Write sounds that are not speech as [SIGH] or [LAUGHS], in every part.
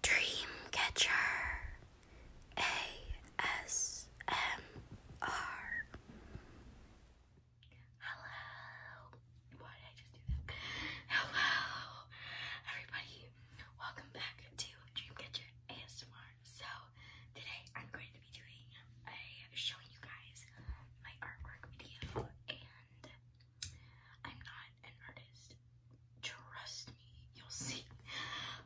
Dreamcatcher ASMR. Hello. Why did I just do that? Hello, everybody. Welcome back to Dreamcatcher ASMR. So today I'm going to be doing a showing you guys my artwork video and I'm not an artist. Trust me, you'll see.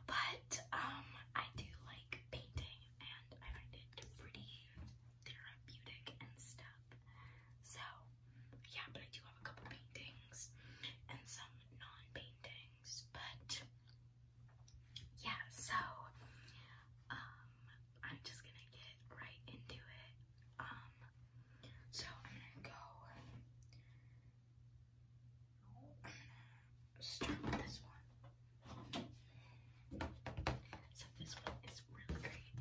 But um, I do like painting, and I find it pretty therapeutic and stuff. So yeah, but I do have a couple paintings and some non-paintings. But yeah, so um, I'm just gonna get right into it. Um, so I'm gonna go, i start with this one. So this one is really great.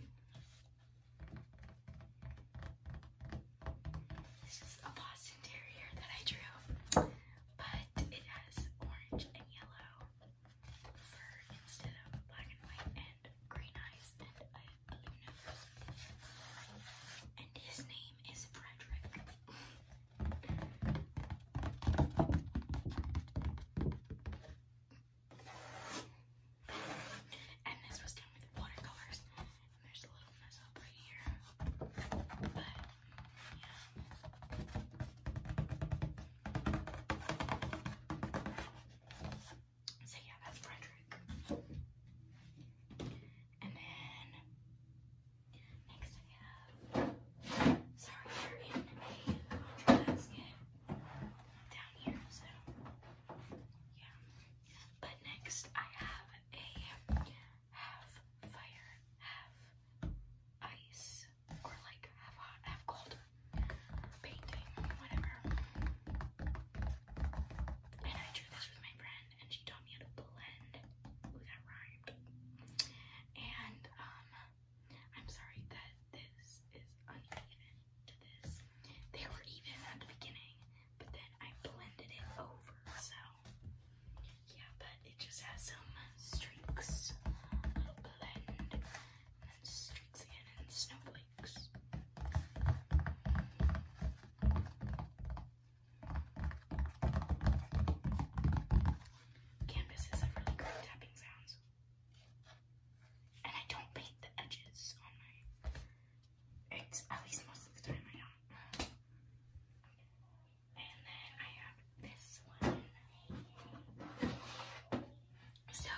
This is a Boston Terrier that I drew, but it has orange and yellow fur instead of black and white and green eyes and a blue nose. And his name is Frederick. and this was done with watercolors. And there's a little mess up right here. But yeah. So yeah, that's Frederick. And then next I have sorry, they're in a laundry basket down here, so yeah. But next I have a half fire, half ice or like have hot, have cold painting, whatever. And I drew this with my friend, and she taught me how to blend. Ooh, that rhymed. And um, I'm sorry that this is uneven to this. They were even at the beginning, but then I blended it over, so yeah, but it just has some streaks. It'll blend then streaks again and snowflakes. Canvases have really great tapping sounds. And I don't paint the edges it's at least most of the time I don't. And then I have this one. So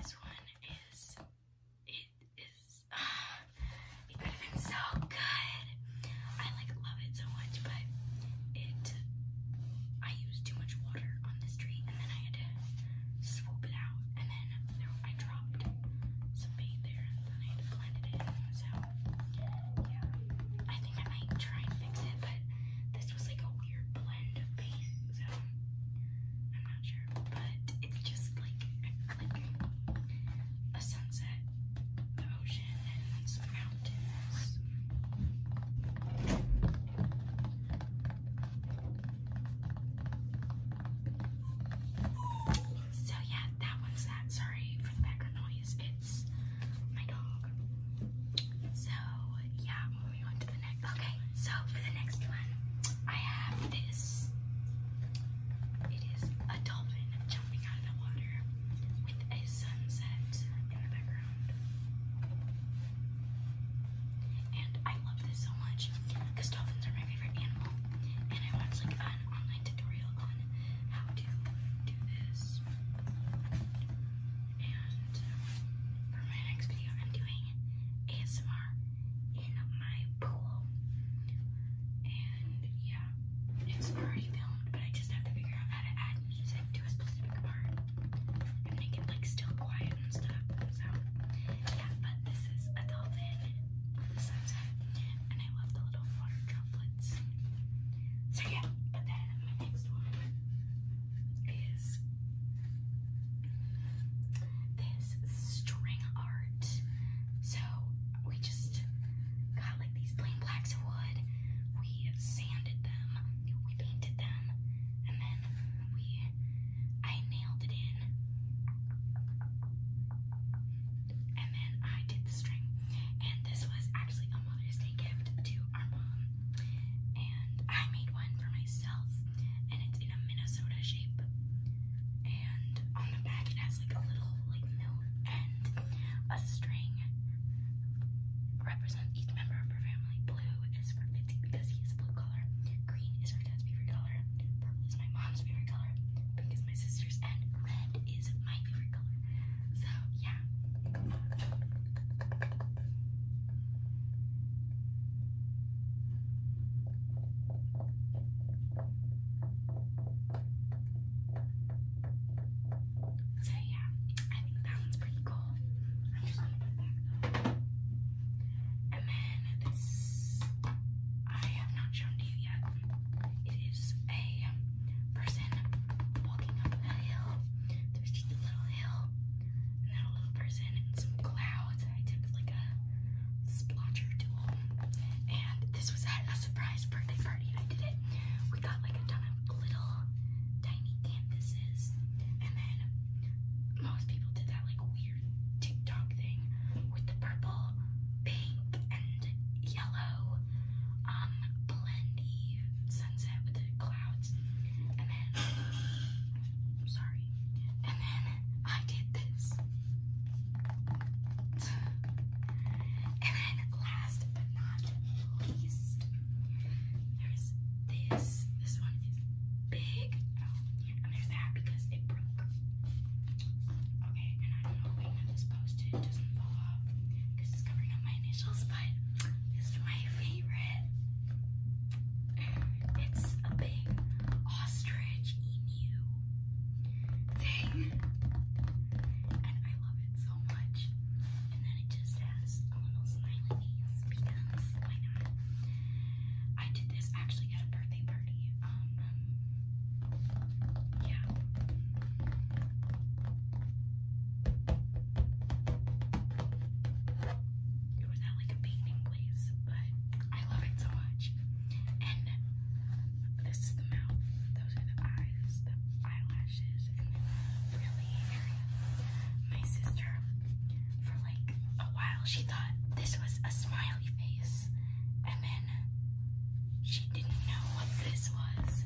this one is it is it could have been so good. I like love it so much, but it I used too much water on this tree and then I had to swoop it out and then I dropped some paint there and then I had to blend it in. So yeah, I think I might try and fix it, but this was like a weird blend of paint, I'm not sure. But it's just like a sunset, the ocean, and some mountains. So yeah, that one's that. Sorry for the background noise. It's my dog. So yeah, Okay, so for the next one, I have this. It is a dolphin jumping out of the water with a sunset in the background. And I love this so much because dolphins are my favorite animal. And I watch like an online online tutorial on how to do this. And for my next video, I'm doing ASMR in my pool. And yeah, it's already filmed, but I just have to figure out how to add music to a specific part and make it like still quiet and stuff. So yeah, but this is Adult In. And I love the little water droplets. So yeah, but then my next one is this string art. So we just got like these plain blocks of wood. We sanded them, we painted them, and then we I nailed it in and then I did the string. And this was actually a Mother's Day gift to our mom. And I made one for myself, and it's in a Minnesota shape. And on the back, it has like a little like note and a string. Represents each member of our family. Blue is for Fitzy because he's blue color. Green is our dad's favorite color. Purple is my mom's favorite color. Pink is my sister's, and red is my favorite color. So yeah. So yeah, I think that one's pretty cool. I'm just gonna put it back though. And then this, I have not shown to you yet. It is a person walking up a hill. There's just a little hill, and then a little person and some clouds. I did like a splotch or two. And this was at a surprise birthday party. I did it. We got like a ton of little tiny canvases, and then most people did that like week TikTok thing with the purple, pink, and yellow um blendy sunset with the clouds. And then I'm sorry. And then I did this. And then last but not least, there's this. This one big. and there's that because it broke. Okay, and I'm hoping that this post doesn't fall because it's covering up my initials, but this is my favorite. It's a big ostrich emu thing. And I love it so much. And then it just has a little smiley I did this actually at a birthday party. Um, yeah. It was at like a painting place, but I love it so much. And this is the mouth, those are the eyes, the eyelashes nose and the frilly area. My sister, for like a while, she thought this was a smiley face, and then she didn't know what this was.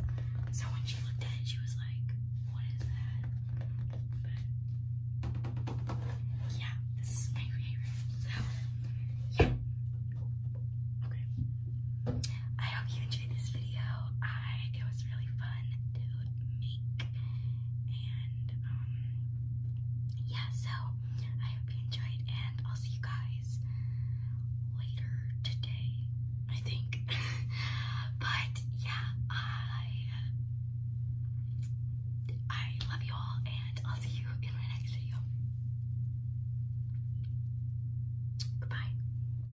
So when she looked at it, she was like, "What is that?" But yeah, this is my favorite. So yeah. Okay. I hope you enjoyed this video. I it was really fun to make. And um yeah, so I hope you enjoyed and I'll see you guys later today, I think. [LAUGHS] but yeah, I I love you all and I'll see you in my next video. Goodbye.